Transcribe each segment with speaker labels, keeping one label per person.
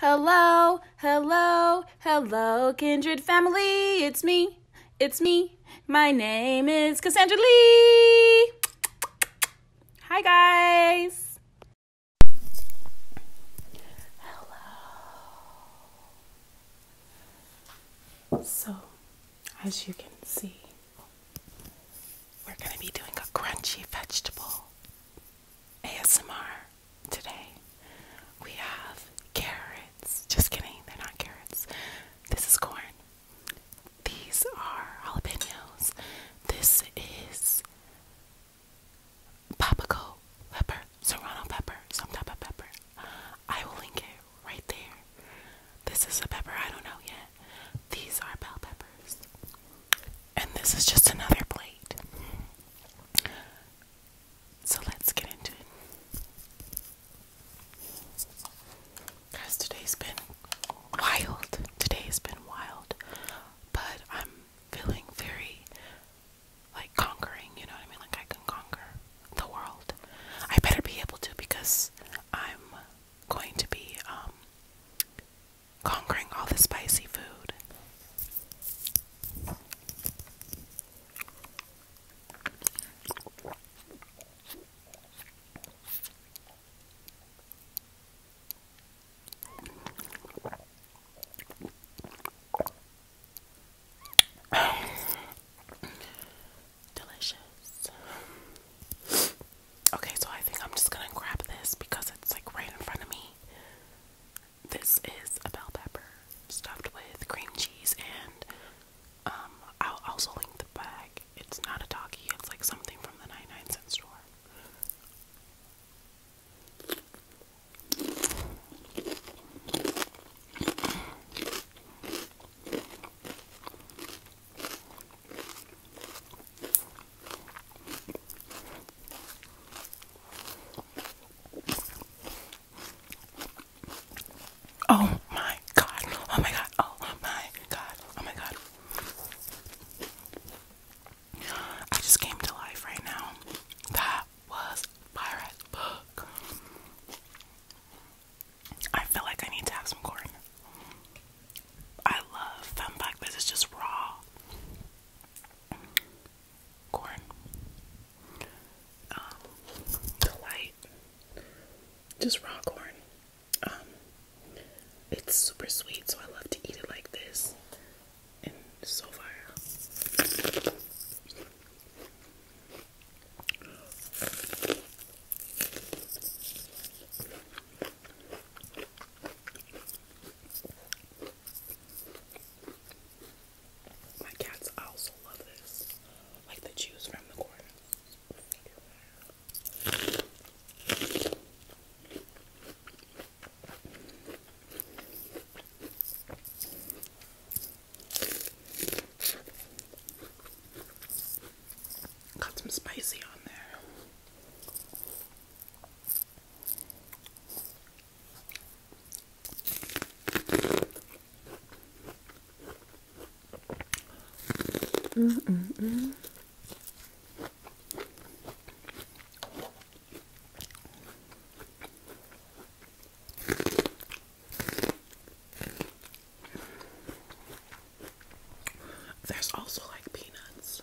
Speaker 1: Hello, hello, hello, kindred family. It's me, it's me. My name is Cassandra Lee. Hi, guys. Hello. So, as you can see, we're going to be doing a crunchy vegetable ASMR today we have carrots. Just kidding, they're not carrots. This is corn. These are jalapenos. This is papago pepper, serrano pepper, some type of pepper. I will link it right there. This is a pepper I don't know yet. These are bell peppers. And this is just another plate. So let's get into it. Guys, today's been wild. Today's been wild. But I'm feeling very like conquering, you know what I mean? Like I can conquer the world. I better be able to because I'm going to be um, conquering all the spicy food. Delicious. Okay, so I think I'm just gonna grab this because it's like right in front of me. This is a bell pepper stuffed with cream cheese and um I'll also link the bag. It's not a talkie, it's like something from the 99 cent store. Oh my god. Oh my god. Oh my god. Oh my god. I just came to life right now. That was Pirate I feel like I need to have some corn. I love fun This is just raw corn, um, delight, just raw corn. Um, it's super sweet, so I love to eat it like this. And so far. My cats also love this, like the juice from the corner. Got some spicy on there. Mm -mm -mm. There's also like peanuts.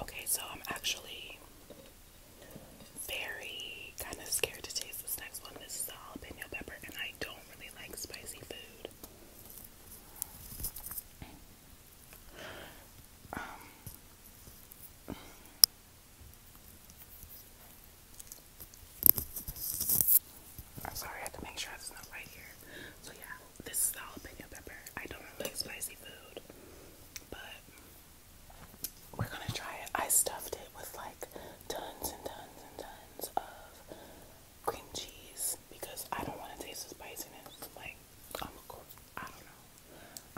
Speaker 1: Okay, so I'm actually very kind of scared to taste this next one. This is all jalapeno pepper, and I don't really like spicy food. Um, I'm sorry, I have to make sure it's not right here. So yeah, this is jalapeno pepper. I don't like spicy food, but we're gonna try it. I stuffed it with like tons and tons and tons of cream cheese because I don't want to taste the spiciness. Like I'm, I don't know.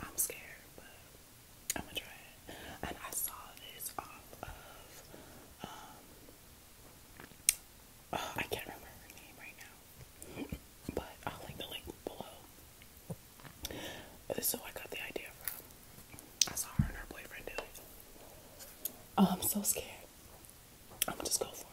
Speaker 1: I'm scared, I'm gonna try it. And I saw this off of um uh, I can't remember her name right now. But I'll link the link below. But I got the idea from. I saw her and her boyfriend do it. I'm um, so scared. I'm gonna just go for it.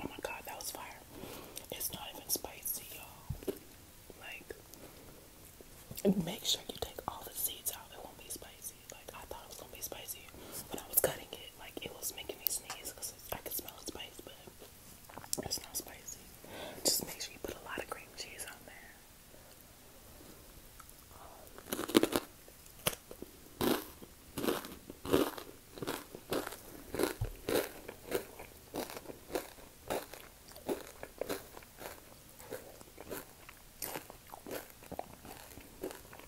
Speaker 1: Oh my god, that was fire. It's not even spicy, y'all. Like, make sure you take all the seeds out. It won't be spicy. Like, I thought it was gonna be spicy when I was cutting it. Like, it was making me sneeze I can smell spice, but it's not spicy. Just make sure you put a lot of cream cheese on there. Mm,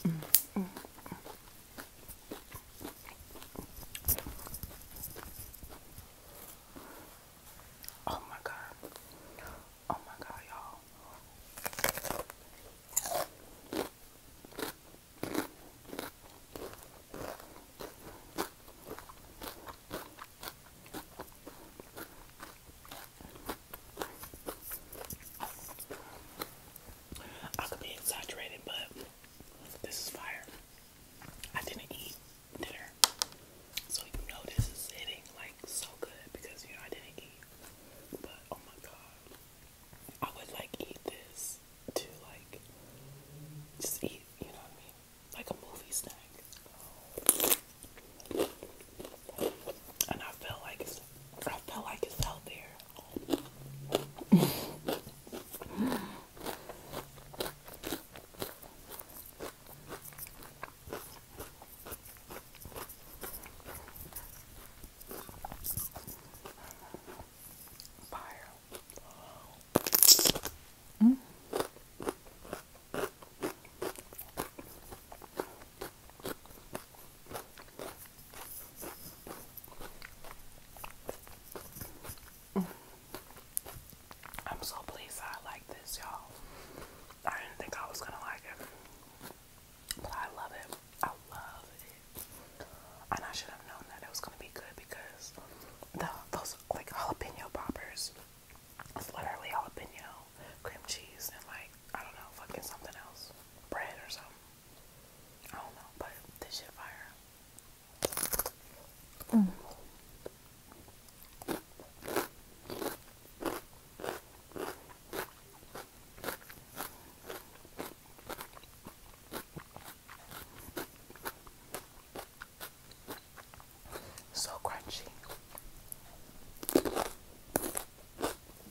Speaker 1: mm, mm. Oh my god. Oh my god, y'all. I could be exaggerating, but this is fire. I didn't eat dinner, so you know this is hitting like so good because you know I didn't eat. But oh my god, I would like eat this to like just eat. You know what I mean? Like a movie snack and I feel like it's I feel like it's out there. Fire. Mm. I'm so pleased I like this, y'all. I didn't think I was gonna like it, but I love it. I love it, and I should have known that it was gonna be good because the those like jalapeno poppers. It's literally jalapeno cream cheese and like, I don't know, fucking something else. Bread or something. I don't know, but this shit fire. So crunchy.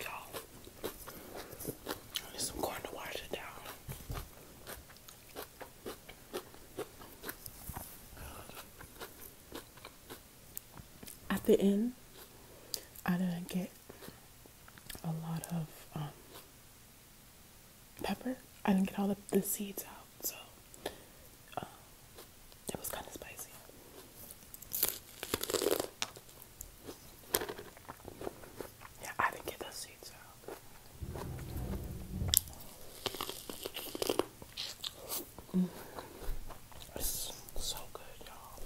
Speaker 1: Y'all, need some corn to wash it down. At the end, I didn't get a lot of um, pepper. I didn't get all the, the seeds out, so uh, it was kind of spicy. Yeah, I didn't get those seeds out. Mm. It's so good, y'all.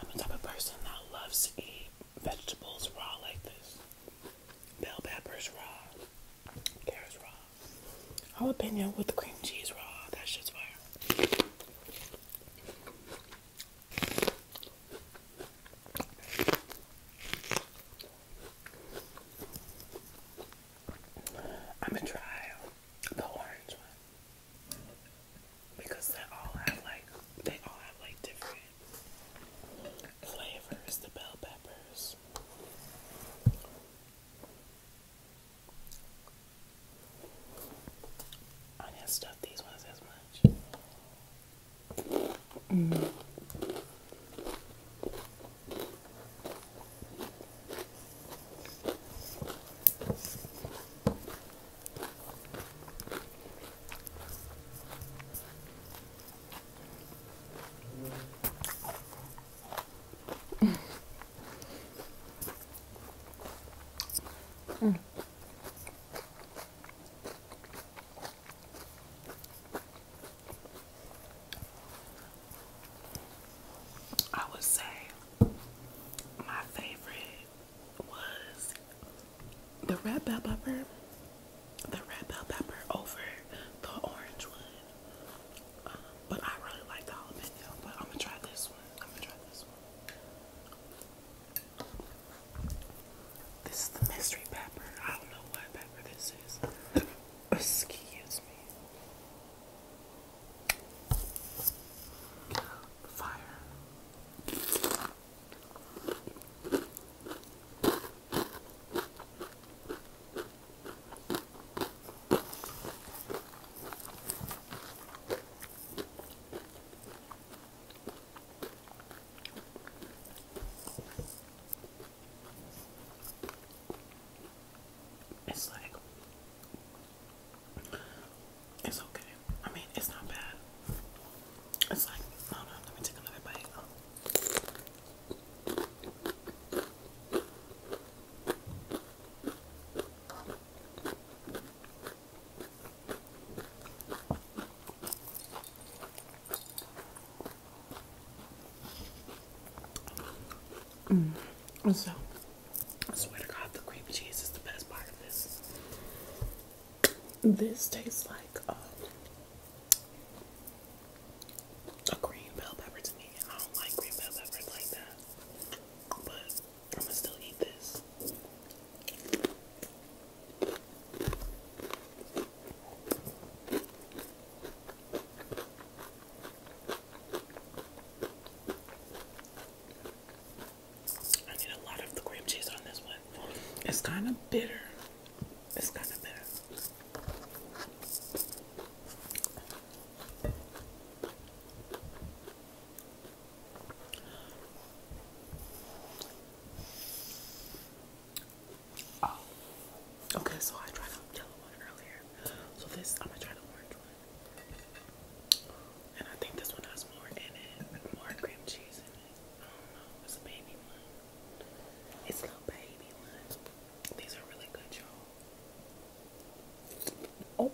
Speaker 1: I'm the type of person that loves to eat vegetables raw like this. Bell peppers raw, carrots raw, jalapeno with the cream cheese raw. That shit's fire. I'm gonna try the orange one because they all have like they all have like different flavors. The bell peppers. I didn't stuff these ones as much. Hmm. I would say my favorite was the red bell pepper, the red bell pepper over the orange one but I really like the jalapeno, but I'm gonna try this one. I'm gonna try this one. This is the mystery pepper. I don't know what pepper this is. Excuse me. Fire. It's like it's okay. I mean, it's not bad. It's like, hold on, let me take another bite. Mm. So, swear to God, the cream cheese is the best part of this. This tastes like um, a green bell pepper to me. I don't like green bell peppers like that. But I'm gonna still eat this. I need a lot of the cream cheese on this one. It's kind of bitter. It's kind of bitter. Oh. okay, so I tried a yellow one earlier. So this, I'm gonna try the orange one. And I think this one has more in it, more cream cheese in it. I don't know, it's a baby one. It's a little baby one. These are really good, y'all. Oh.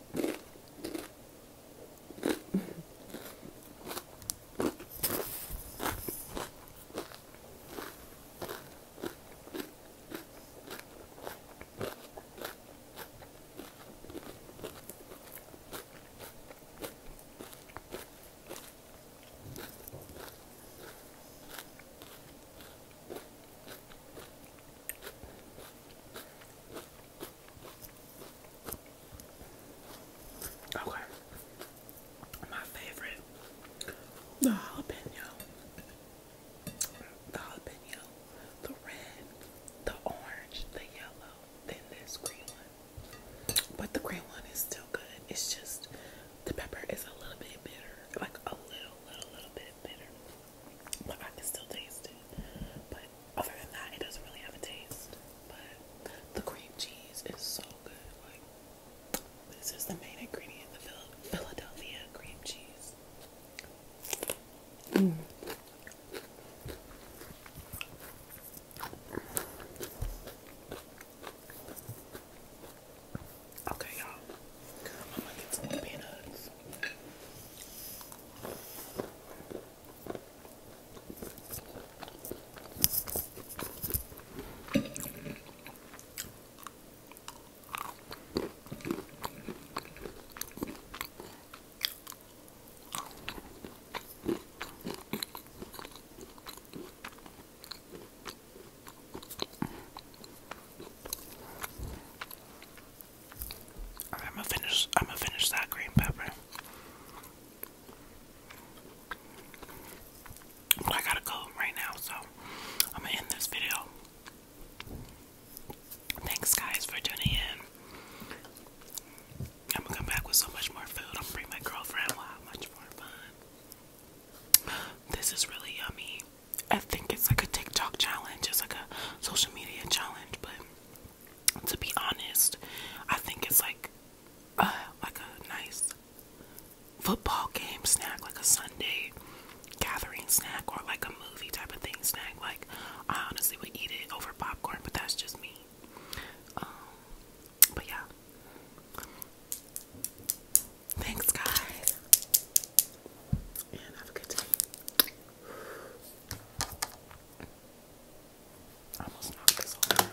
Speaker 1: Okay. My favorite. The jalapeno. The jalapeno. The red. The orange. The yellow. Then this green one. But the green one is still good. It's just the pepper is a little bit bitter. Like a little, little, little bit bitter, but I can still taste But other than that, it doesn't really have a taste. But the cream cheese is so good. this is the main ingredient, the Philadelphia cream cheese. Mm. Okay, y'all. I'm gonna get some peanuts. I'm gonna finish. I'm gonna finish that green pepper. I gotta go right now, so I'm gonna end this video. Thanks, guys, for tuning in. I'm gonna come back with so much more food. I'm bring my girlfriend. much more fun. This is really yummy. I think it's like a TikTok challenge, it's like a social media challenge, but to be honest, I think it's like uh like a nice football game snack, like a Sunday gathering snack or like a movie type of thing snack. Like I honestly would eat it over popcorn, but that's just me. Um, but yeah. Thanks, guys. And have a good day. almost knocked this over.